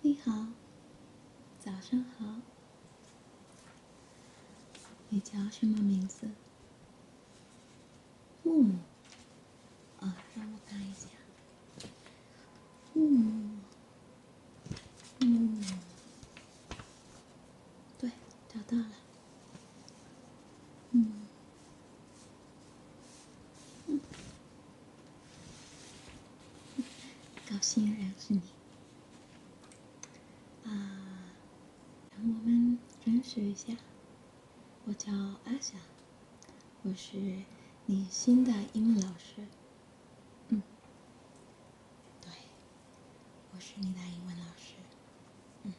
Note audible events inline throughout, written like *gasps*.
你好，早上好。你叫什么名字？木木。啊，让我看一下。木木。木木，对，找到了。嗯，嗯，高兴认识你。啊，让我们认识一下。我叫阿霞，我是你新的英语老师。嗯，对。我是你的英文老师，嗯，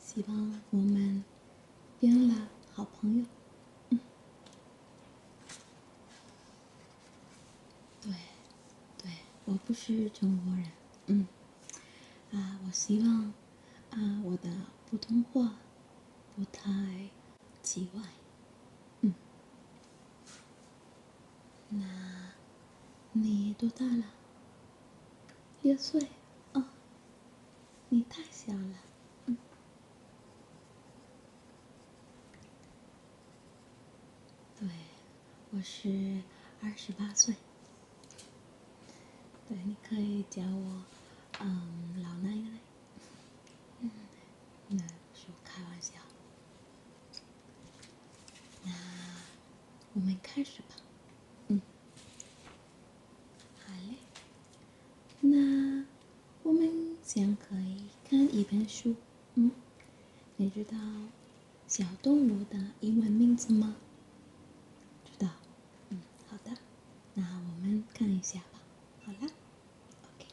希望我们变了好朋友，嗯，对，对，我不是中国人，嗯，啊，我希望啊，我的普通话不太奇怪，嗯。那，你多大了？六岁，啊，你太小了。对，我是二十八岁。对，你可以叫我嗯老奶奶。嗯，那。说开玩笑。那我们开始吧。嗯，好嘞。那我们先可以看一本书。嗯，你知道小动物的英文名字吗？知道。嗯，好的。那我们看一下吧。好啦。OK。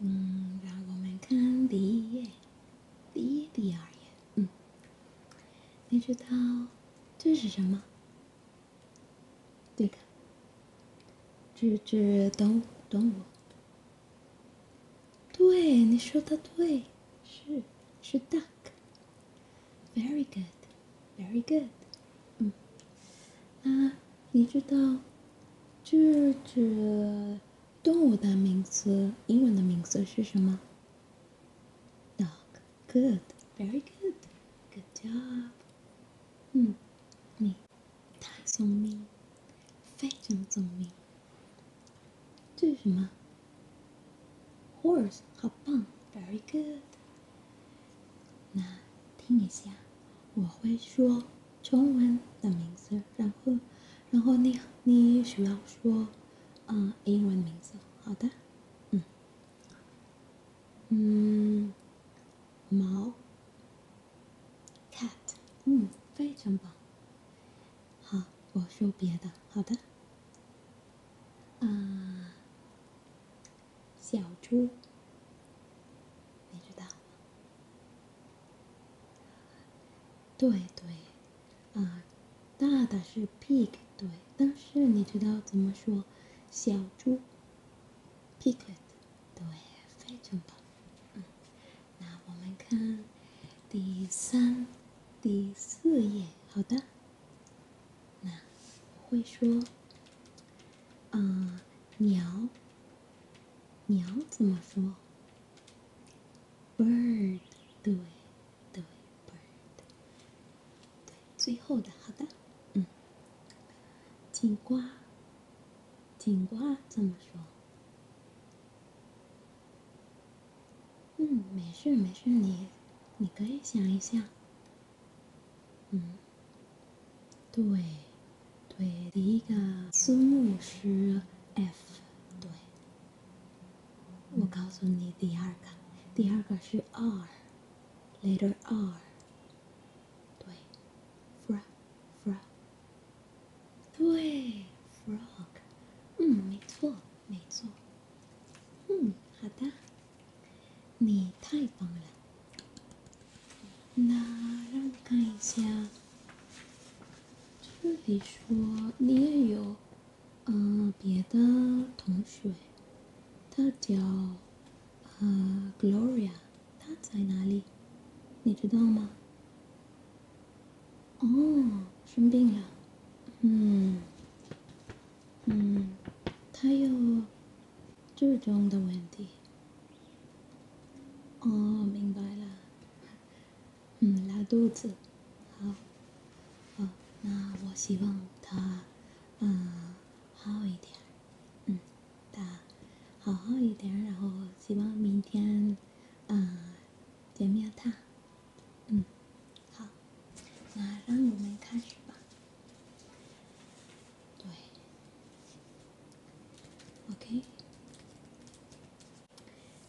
嗯，让我们看第一页，第第二页。嗯，你知道这是什么？对的，这动物，动物。对，你说的对，是，是 duck。Very good, very good。嗯，啊。你知道这只动物的名字，英文的名字是什么？Dog. Good. Very good. Good job. 嗯，你太聪明，非常聪明。这是什么？Horse. 好棒。Very good. 那听一下，我会说。中文的名字，然后，然后你你需要说，嗯，英文的名字，好的，嗯，嗯，猫，cat，嗯，非常棒，好，我说别的，好的，啊，小猪，你知道。对对，啊，大的是 pig，对，但是你知道怎么说？小猪，piglet，对，非常棒。嗯，那我们看第三、第四页，好的。那会说，嗯，鸟。鸟怎么说？bird，对，对，bird，对，最后的，好的，嗯，警瓜，警瓜怎么说？嗯，没事没事，你，你可以想一下，嗯，对。对，第一个字母是 F，对。我告诉你第二个，第二个是 R，letter R，对，frog，frog，对，frog，嗯，没错，没错，嗯，好的，你太棒了。那让我看一下，这里说你也有嗯别的同学，他叫呃 Gloria，他在哪里？你知道吗？哦，生病了，嗯嗯，他有这种的问题。哦，明白了。嗯，拉肚子，好，好，那我希望他，嗯，好一点，嗯，他好好一点，然后希望明天，嗯，见面他，嗯，好，那让我们开始吧。go ahead. Okay.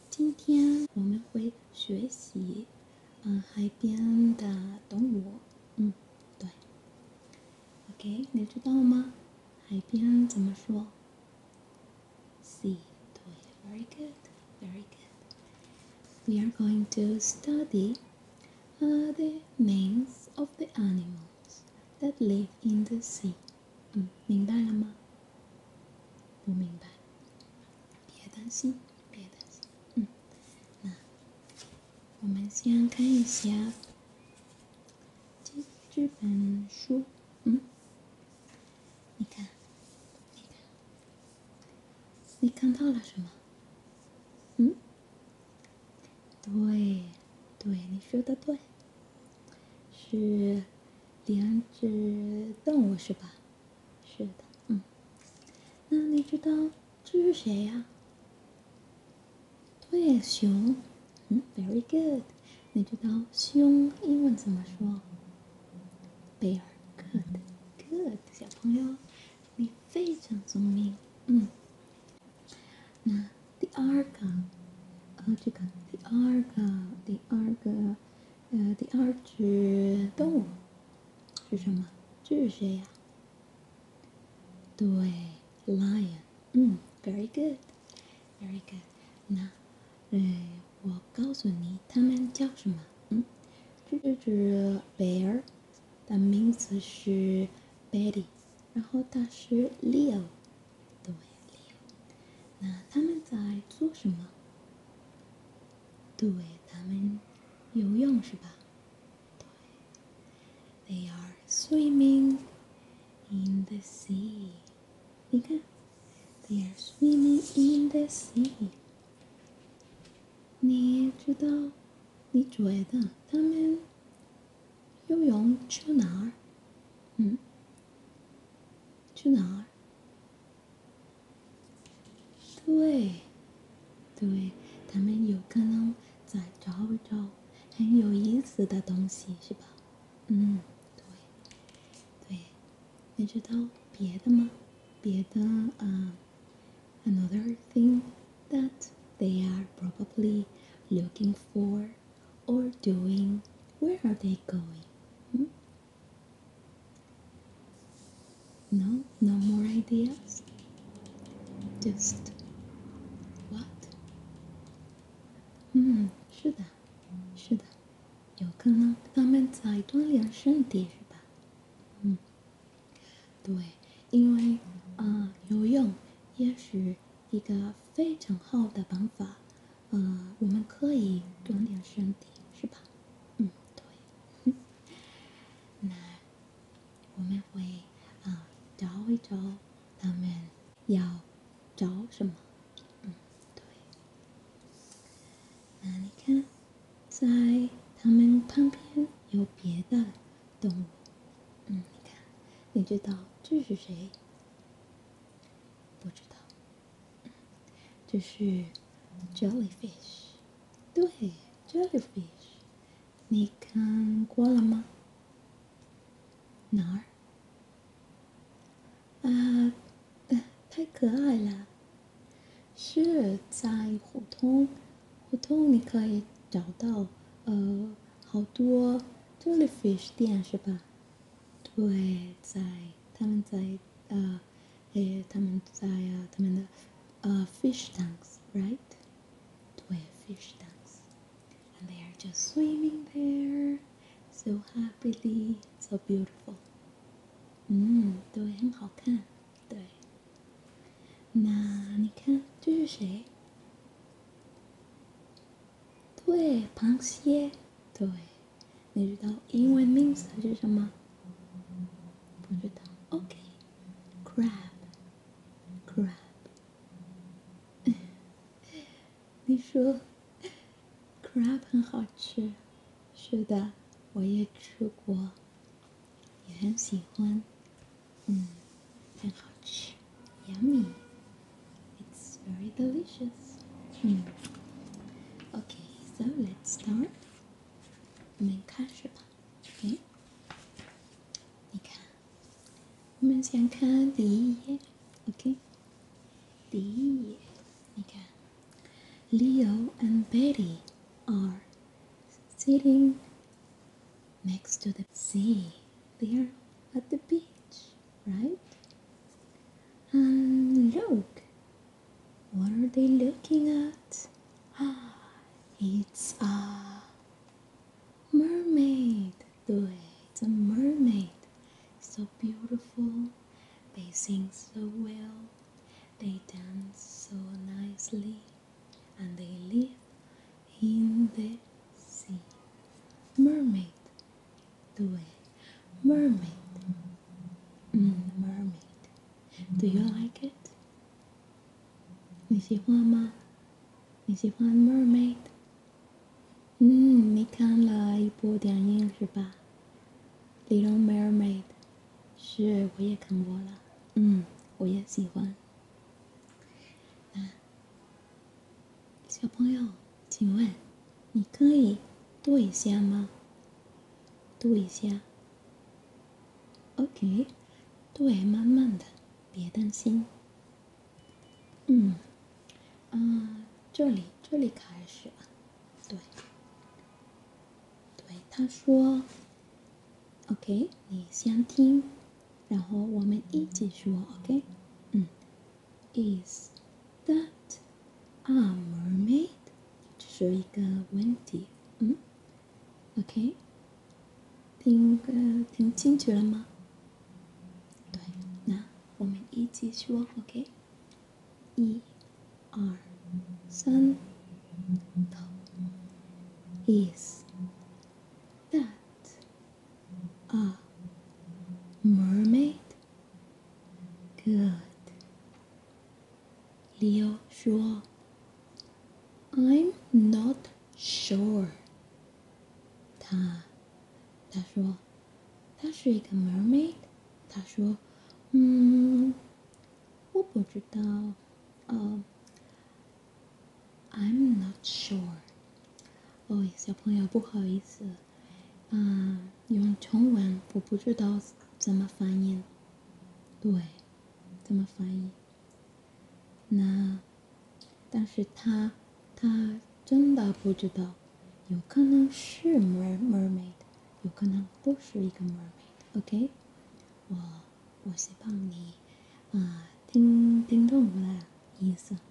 今天我们会学习，嗯，海边的动物。嗯，对。OK，你知道吗？海边怎么说？Sea. 对，very good, very good. We are going to study. are uh, the names of the animals that live in the sea. 嗯，明白了吗？不明白，别担心，别担心，嗯，那我们先看一下这本书，嗯，你看，你看，你看到了什么？嗯。对，对，你说的对。是，两只动物是吧？是的，嗯。那你知道这是谁呀？对，熊。嗯，very good。你知道熊英文怎么说？Very good，good，小朋友，你非常聪明，嗯。那第二个，呃，这个第二个，第二个，呃，第二只动物是什么？这是谁呀？对，lion。嗯，very good，very good。那，哎，我告诉你，它们叫什么？嗯，这只 bear 的名字是 Betty。然后，大师 Leo，对，Leo，那他们在做什么？对，他们游泳是吧？They 对 are swimming in the sea。你看，They are swimming in the sea。你知道，你觉的他们。游泳去哪儿？嗯，去哪儿？对，对，他们有可能在找找很有意思的东西，是吧？嗯，对，对，你知道别的吗？别的嗯，another thing that they are probably looking for。or doing? Where are they going? Hmm? No, no more ideas? Just what? Hmm. Yes. Hmm, 是的，是的，有可能他们在锻炼身体是吧？嗯，对，因为啊、呃，游泳也是。一个非常好的方法，呃，我们可以锻炼身体，是吧？嗯，对。*laughs* 那我们会呃找一找他们要找什么？嗯，对。那你看，在他们旁边有别的动物。嗯，你看，你知道这是谁？不知道，这是 jellyfish。对，jellyfish，你看过了吗？哪儿？啊，太可爱了。是在胡同，胡同你可以找到，呃。好多，tulip fish 店是吧？对，在他们在呃，呃他们在啊，他们的呃 fish tanks right？对，fish tanks，and they are just swimming there，so happily，so beautiful。嗯，对，很好看，对。那你看这是谁？对，螃蟹，对，你知道英文名字是什么？不知道，OK，crab，crab，*laughs* 你说，crab 很好吃，是的，我也吃过，也很喜欢。Mm. Penhotch. Yummy. It's very delicious. Mm. Okay, so let's start. Okay. Okay. Leo and Betty are sitting next to the sea there at the beach, right? And look, what are they looking at? Ah, *gasps* it's a mermaid. Do It's a mermaid. So beautiful. They sing so well. They dance so nicely. And they live In the sea, mermaid, do it, mermaid, mermaid, do you like it? 你喜欢吗？你喜欢 mermaid？嗯，你看了一部电影是吧？Little Mermaid，是，我也看过了。嗯，我也喜欢。小朋友，请问，你可以读一下吗？读一下。OK，对，慢慢的，别担心。嗯，啊，这里这里开始了，对，对，他说。OK，你先听。然后我们一起说，OK，嗯，Is that a mermaid？这是一个问题，嗯，OK，听个听清楚了吗？对，那我们一起说，OK，一、二、三、头，Is that？a mermaid? Good. Leo i am not sure." a mermaid. "Hmm, sure。”他他说他是一个 mermaid。他说：“嗯，我不知道。呃 I'm not sure。哦，小朋友不好意思，啊，用中文我不知道怎么翻译。对，怎么翻译？那，但是他，他真的不知道，有可能是 mer mermaid，有可能不是一个 mermaid。OK，我，我希望你，啊，听听懂我的意思。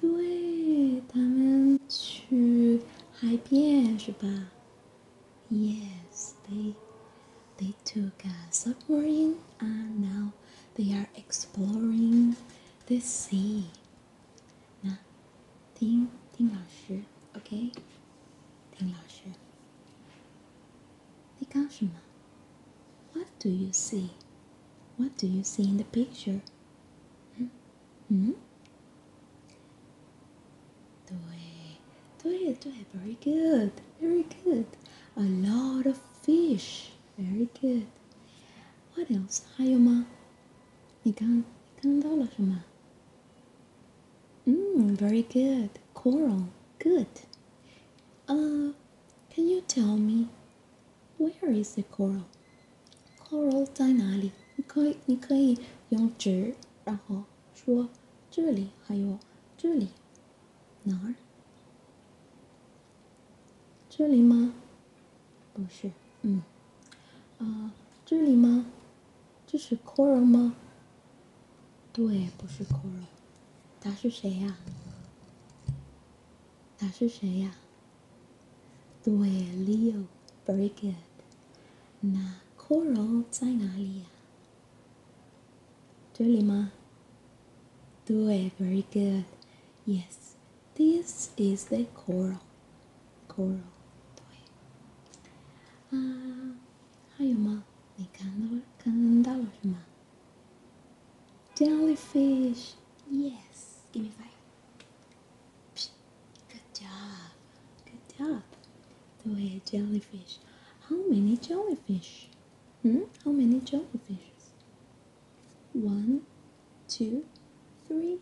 对他们去海边是吧？Yes, they they took a submarine and now they are exploring the sea. 那听听老师，OK？听老师，你干什么？What do you see? What do you see in the picture? Mm -hmm. Very good, very good. A lot of fish. Very good. What else? Hayoma. 你刚刚到了什么？Mm, very good. Coral. Good. Uh, can you tell me where is the coral? coral 在哪里？你可以你可以用指，然后说这里还有这里哪儿？这里吗？不是，嗯，啊，这里吗？这是 coral 吗？对，不是 coral，他是谁呀？他是谁呀？Leo. very good. Na coral zainalia. Lima. Due, very good. Yes, this is the coral. Coral. Due. Uh, ah, hayuma, ni kandawarma. Jellyfish. Yes, give me five. Good job. Good job. The way jellyfish. How many jellyfish? Hmm? How many jellyfishes? One, two, three,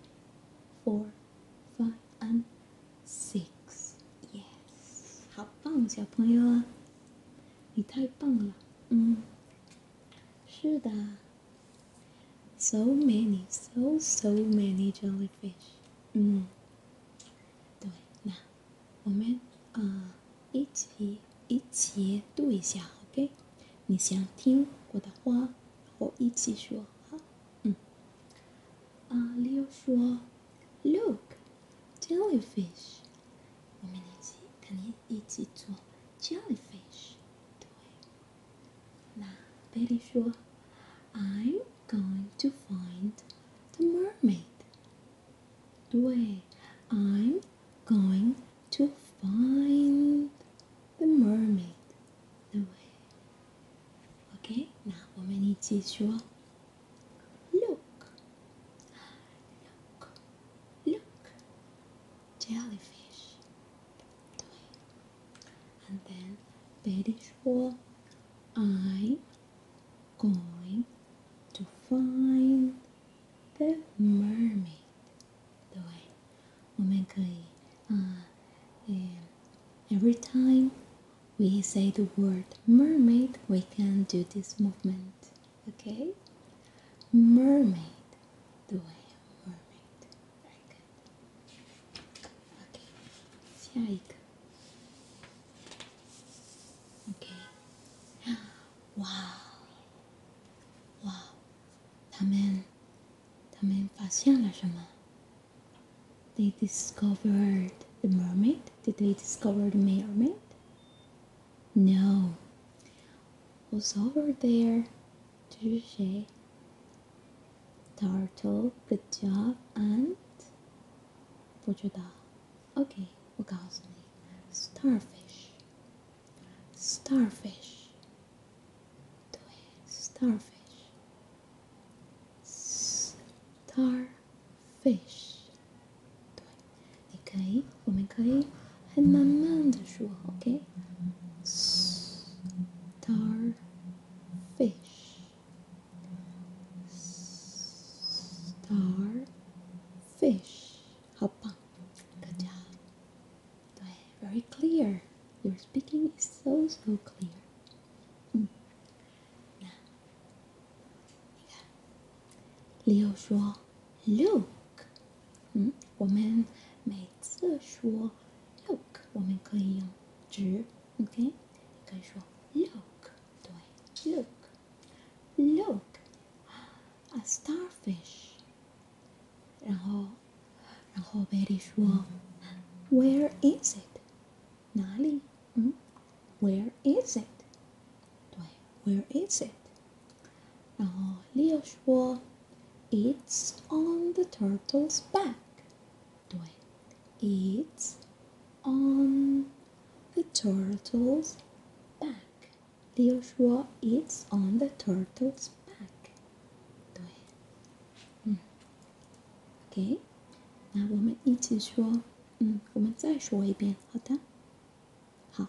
four, five, and six. Yes. 好棒，小朋友啊！你太棒了。嗯，是的。So many, so so many jellyfish. 嗯，对，那我们啊一起一起读一下，OK？你想听我的话，我一起说啊，嗯。啊例如说，Look, jellyfish。我们一起，跟你一起做 j e l l y f i s h 对。Now, very sure, I'm going to find the mermaid. The way i am going to find the mermaid. The way. Okay. Now, look, look, look jellyfish and then very sure I going to find the mermaid uh, um, every time we say the word mermaid, we can do this movement. Okay, mermaid 对，mermaid。very good. Okay. Siyaik. Okay. Wow. Wow. 他们他们发现了什么？They discovered the mermaid. Did they discover the mermaid? No. Was over there Turtle, good job. And 보조다. Okay, 우가우스니. Starfish. Starfish. 도해. Starfish. Starfish. 对，你可以。我们可以很慢慢的说，OK。Starfish, starfish，好棒，Good job。对，very clear. Your speaking is so so clear. 嗯，那你看，李友说，Look，嗯，我们每次说 look，我们可以用直，OK？你可以说 look，对，look，look，啊，starfish。然后，然后 Betty 说，Where is it？哪里？嗯，Where is it？对，Where is it？然后 Leo 说，It's on the turtle's back。对，It's on the turtle's back。Leo 说，It's on the turtle's back。对，嗯，OK，那我们一起说，嗯，我们再说一遍，好的。好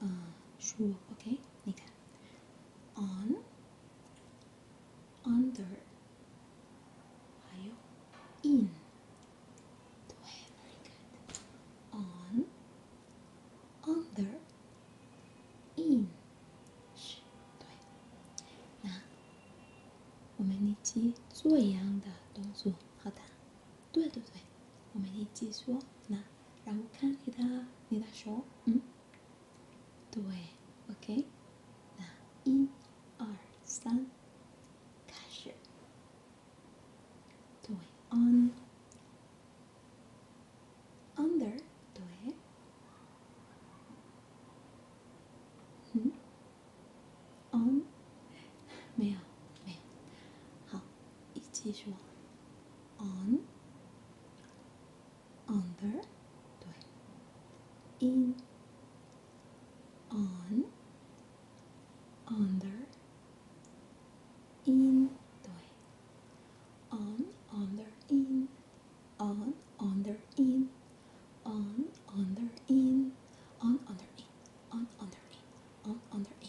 嗯，说，OK，你看，on，under，还有 in，对，very good，on，under，in，是，对，那我们一起做一样的动作，好的，对对对，我们一起说，那。然后看你的，你的手，嗯，对，OK，那一、二、三，开始，对，on，under，对，嗯，on，没有，没，有，好，你继续。on under on under in under in on under in on under in on under in on under in on under in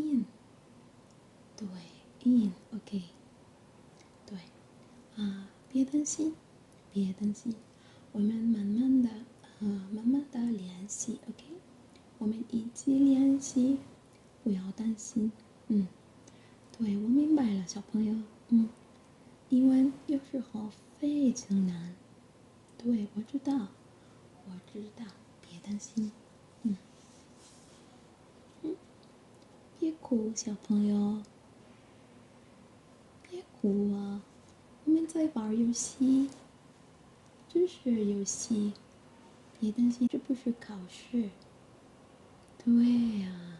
in，对 i n o k 对，啊，别担心，别担心，我们慢慢的，呃，慢慢的联系 o k 我们一起练习，不要担心，嗯。对，我明白了，小朋友，嗯。英文有时候非常难，对，我知道，我知道，别担心。嗯，嗯，别哭，小朋友，别哭啊，我们在玩游戏，真是游戏，别担心，这不是考试。对呀，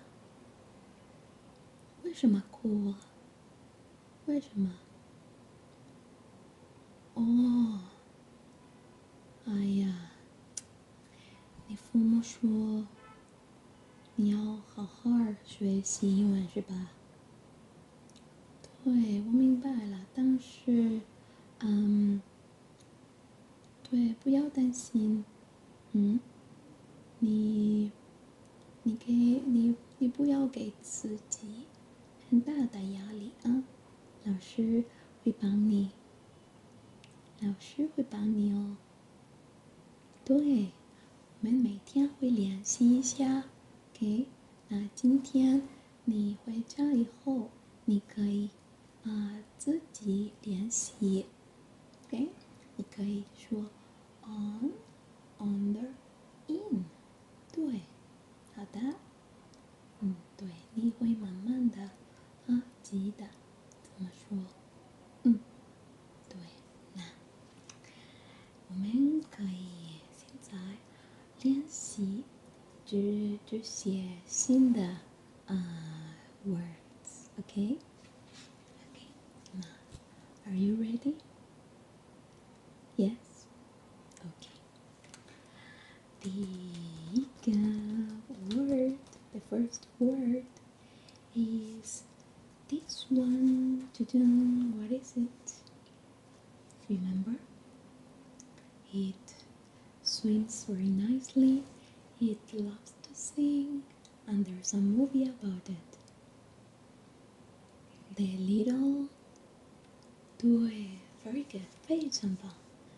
为什么哭？啊？为什么？哦，哎呀。你父母说，你要好好学习，是吧？对，我明白了。但是，嗯，对，不要担心，嗯，你，你给你，你不要给自己很大的压力啊。老师会帮你。老师会帮你哦。对，我们每天会联系一下。OK，那今天你回家以后，你可以啊自己联系。OK，你可以说 on、under、in。对，好的。嗯，对，你会慢慢的啊，记得怎么说？嗯，对，那我们可以现在练习，这这写新的呃 words，OK，OK，那 Are you ready？Yes，OK。The word, the first word is this one. To do what is it? Remember? It swims very nicely. It loves to sing, and there's a movie about it. The little do very good Very sample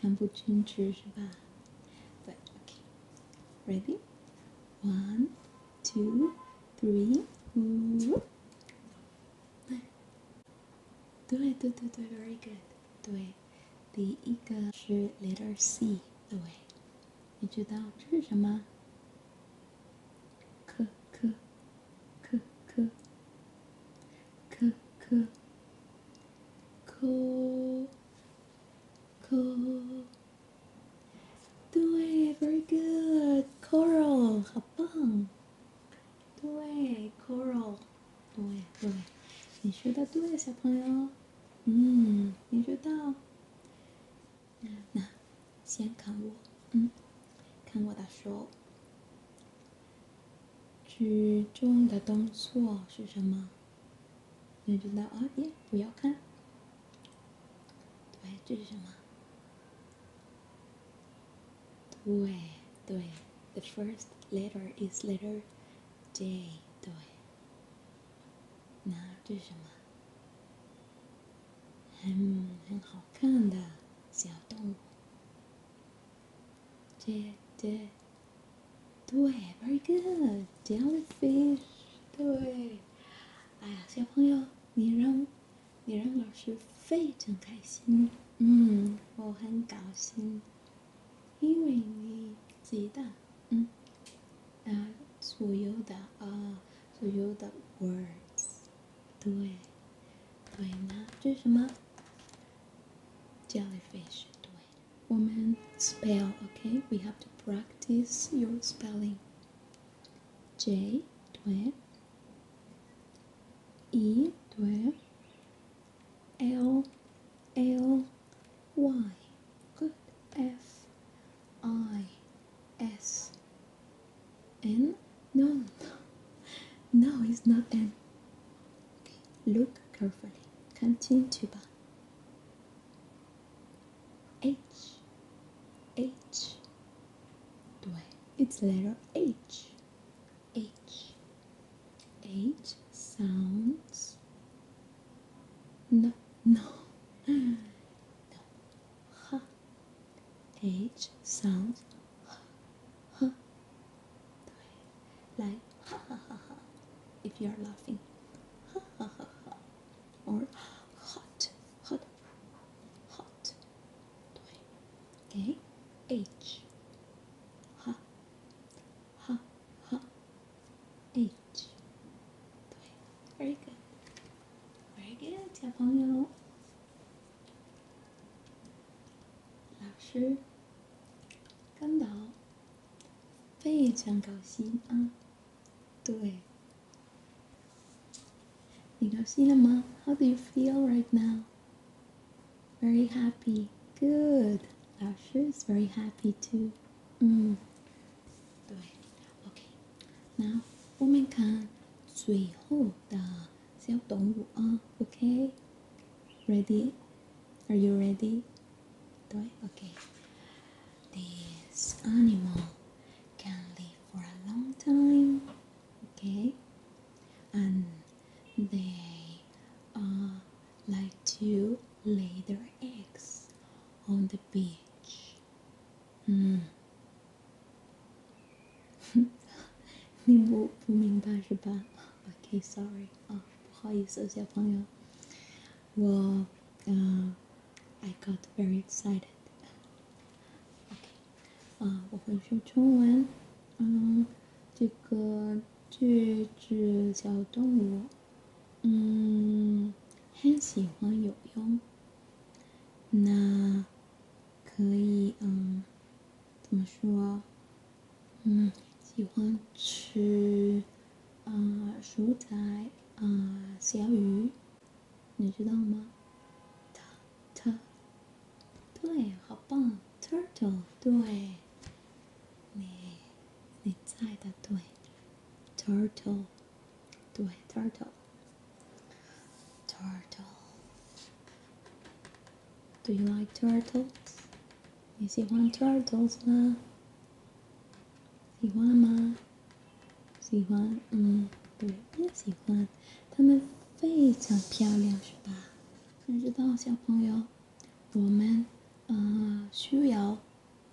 Cambodian Jersey But okay. Ready? One, two, three. Whoop. Due, due, due, due, very good. Due. 第一个是 letter C 的尾，你知道这是什么？科科科科。可可，可可，对，very good，coral，好棒，对，coral，对对，你说的对，小朋友，嗯，你说到，那，先看我，嗯，看我的手。举重的动作是什么？你知道啊？耶，不要看。对，这是什么？对对，The first letter is letter J。对。那这是什么？很很好看的小动物。J J。对，very good jellyfish。对，哎呀，小朋友，你让，你让老师非常开心。嗯，我很高兴，因为你记得，嗯，啊，所有的啊，所有的 words。对，对呢，这是什么？jellyfish。对。woman spell okay we have to practice your spelling j dwe e dwe l l y good f i s n No, no *laughs* no it's not n Look carefully. Canteen tuba. H. H. It's letter H. H. H sounds. No, no. *laughs* No. H sounds. H like ha ha ha ha if you are laughing ha ha ha ha or hot hot hot okay h ha ha ha h very good very good 小朋友老师，甘导，非常高兴啊！对，你高兴了吗？How do you feel right now? Very happy. Good. 老师 is very happy too. 嗯，对，OK。那我们看最后的小动物啊，OK？Ready? Are you ready? Do I? Okay. This animal can live for a long time, okay? And they like to lay their eggs on the beach. Mm. 你不不明白是吧？*laughs* OK，Sorry，啊，不好意思，小朋友，我，呃，I got very excited。OK，啊，我会说中文，嗯，这个句子小动物，嗯，很喜欢游泳。那，可以嗯。怎么说？嗯，喜欢吃啊，蔬菜啊，小鱼，你知道吗？Turtle，对，好棒，Turtle，对，你，你在的对，Turtle，对，Turtle，Turtle。Do you like turtles? Is he one turtles ma? Si Juan ma? Si Juan 嗯，对，也喜欢。它们非常漂亮，是吧？你知道，小朋友，我们呃需要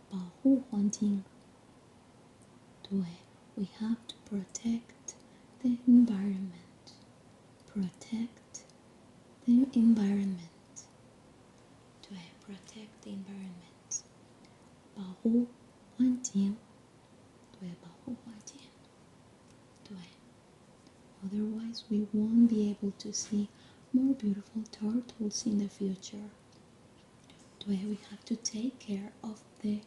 保护环境。对，we have to protect the environment. Protect the environment. To protect the environment. who, to Otherwise, we won't be able to see more beautiful turtles in the future. we have to take care of the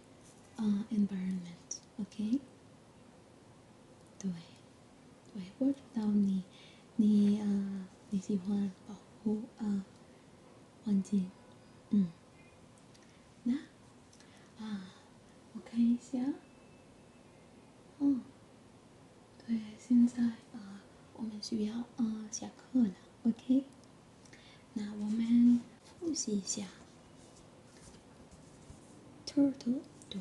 uh, environment. Okay. 对。对，我知道你，你啊，你喜欢保护啊，环境，嗯，那啊，我看一下，嗯，对，现在啊，我们需要啊下课了，OK，那我们复习一下，turtle，对。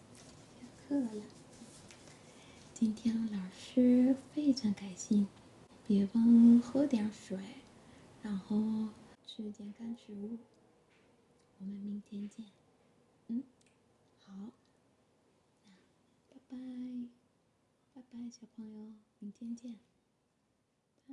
下课了，今天老师非常开心。别忘喝点水，然后吃点干食物。我们明天见。嗯，好，拜拜，拜拜，小朋友，明天见，拜。